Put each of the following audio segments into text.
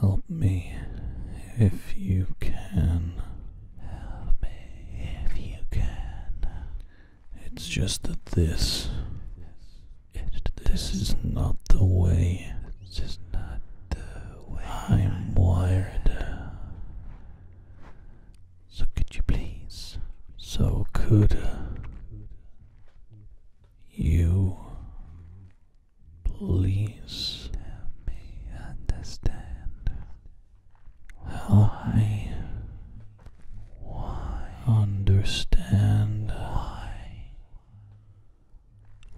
Help me if you can. Help me if you can. It's just that this this is not the way. This is not the way I'm wired. So could you please? So could you please help me understand how why understand why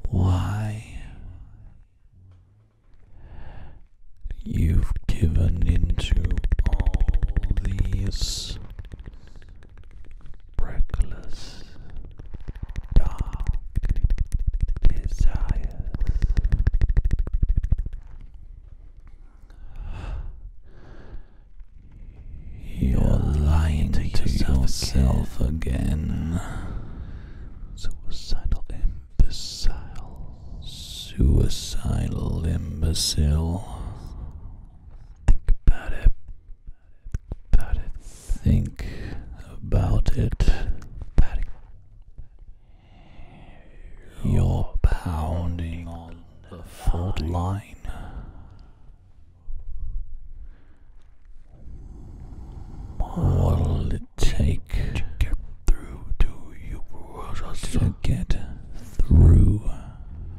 why you've given into all these reckless desires. You're lying to yourself, again. Suicidal imbecile. Suicidal imbecile. Think about it. About it. Think about it. About it. You're pounding the fault line. What'll it take to get through to you? To get through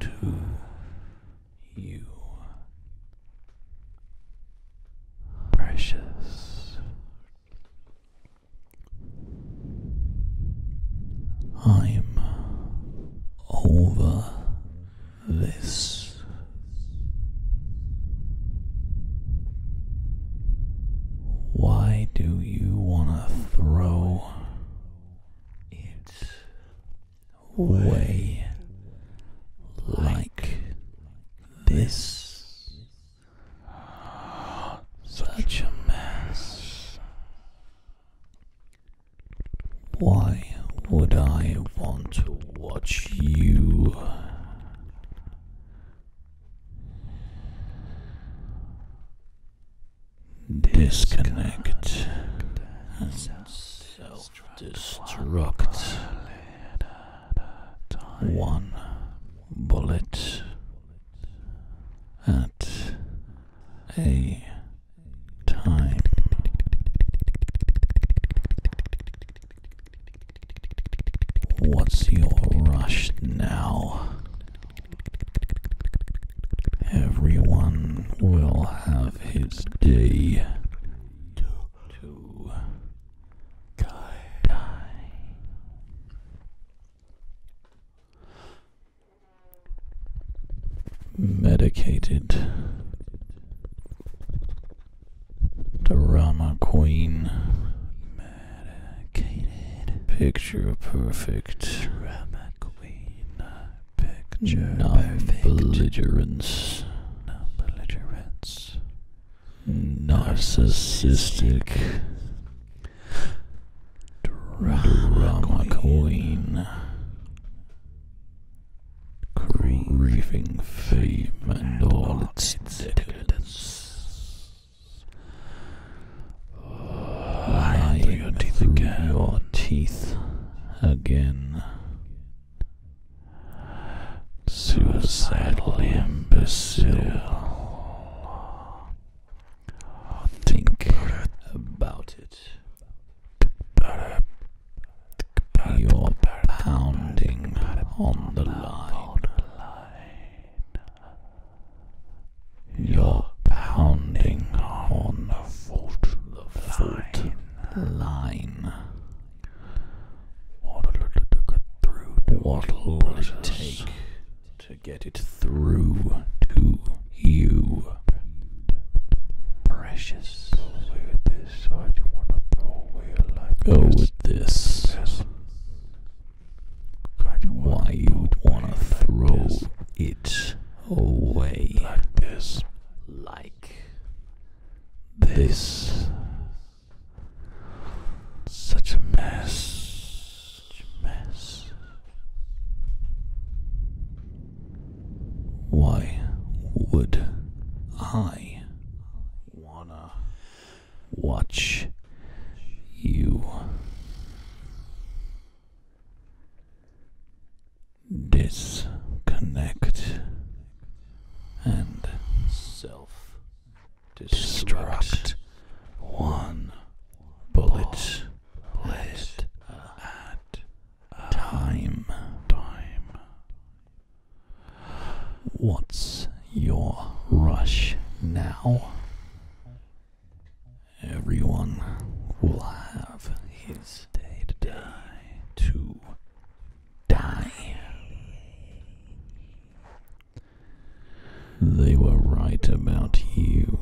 to you, precious. I'm over this why do you want to throw it away like this such a mess why would I want to watch you? Disconnect self destruct. One bullet at a time. What's your rush now? Everyone will have his day to, to die. die medicated drama queen picture perfect non-belligerence non-belligerence narcissistic drama, queen craving fame and all its decadence. Ah, Lying again. Your teeth again. Suicidal imbecile. Think about it. You're pounding on the line. You're pounding on the foot line. What'll it get through? What'll it take to get it through to you precious. Go oh, with this. Why you'd wanna throw it away like this? Such a mess. Why would I wanna watch you disconnect and self destruct one bullet led at time. Time. What's your rush now? Everyone will have his day to die. To die. They were right about you.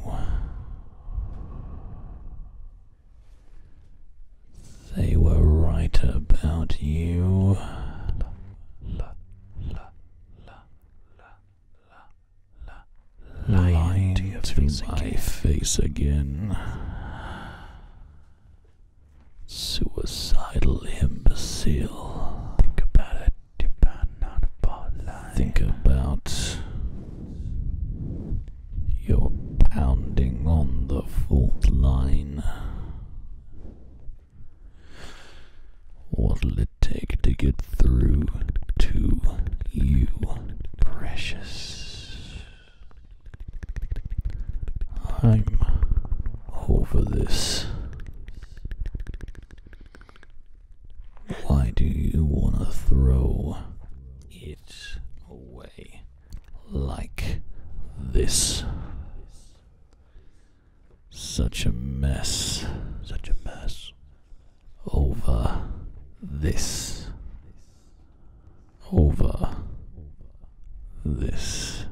They were right about you. Lying to, my face again. Suicidal imbecile. Think about it. Think about you're pounding on the fourth line. What'll it take to get through to you, precious? I'm over this. Why do you want to throw it away? like this. Such a mess. Such a mess. Over this. Over this.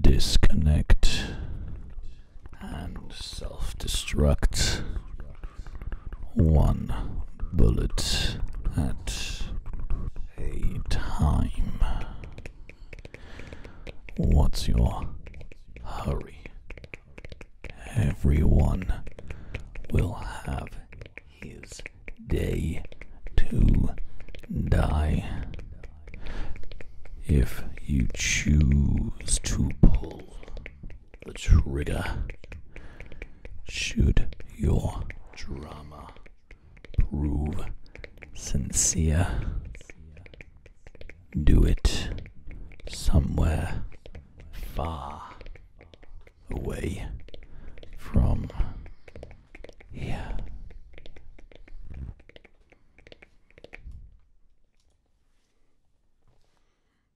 Disconnect and self destruct one bullet at a time. What's your hurry? Everyone will have his day to die. If you choose to pull the trigger. Shoot your drama prove sincere, do it somewhere far away from here.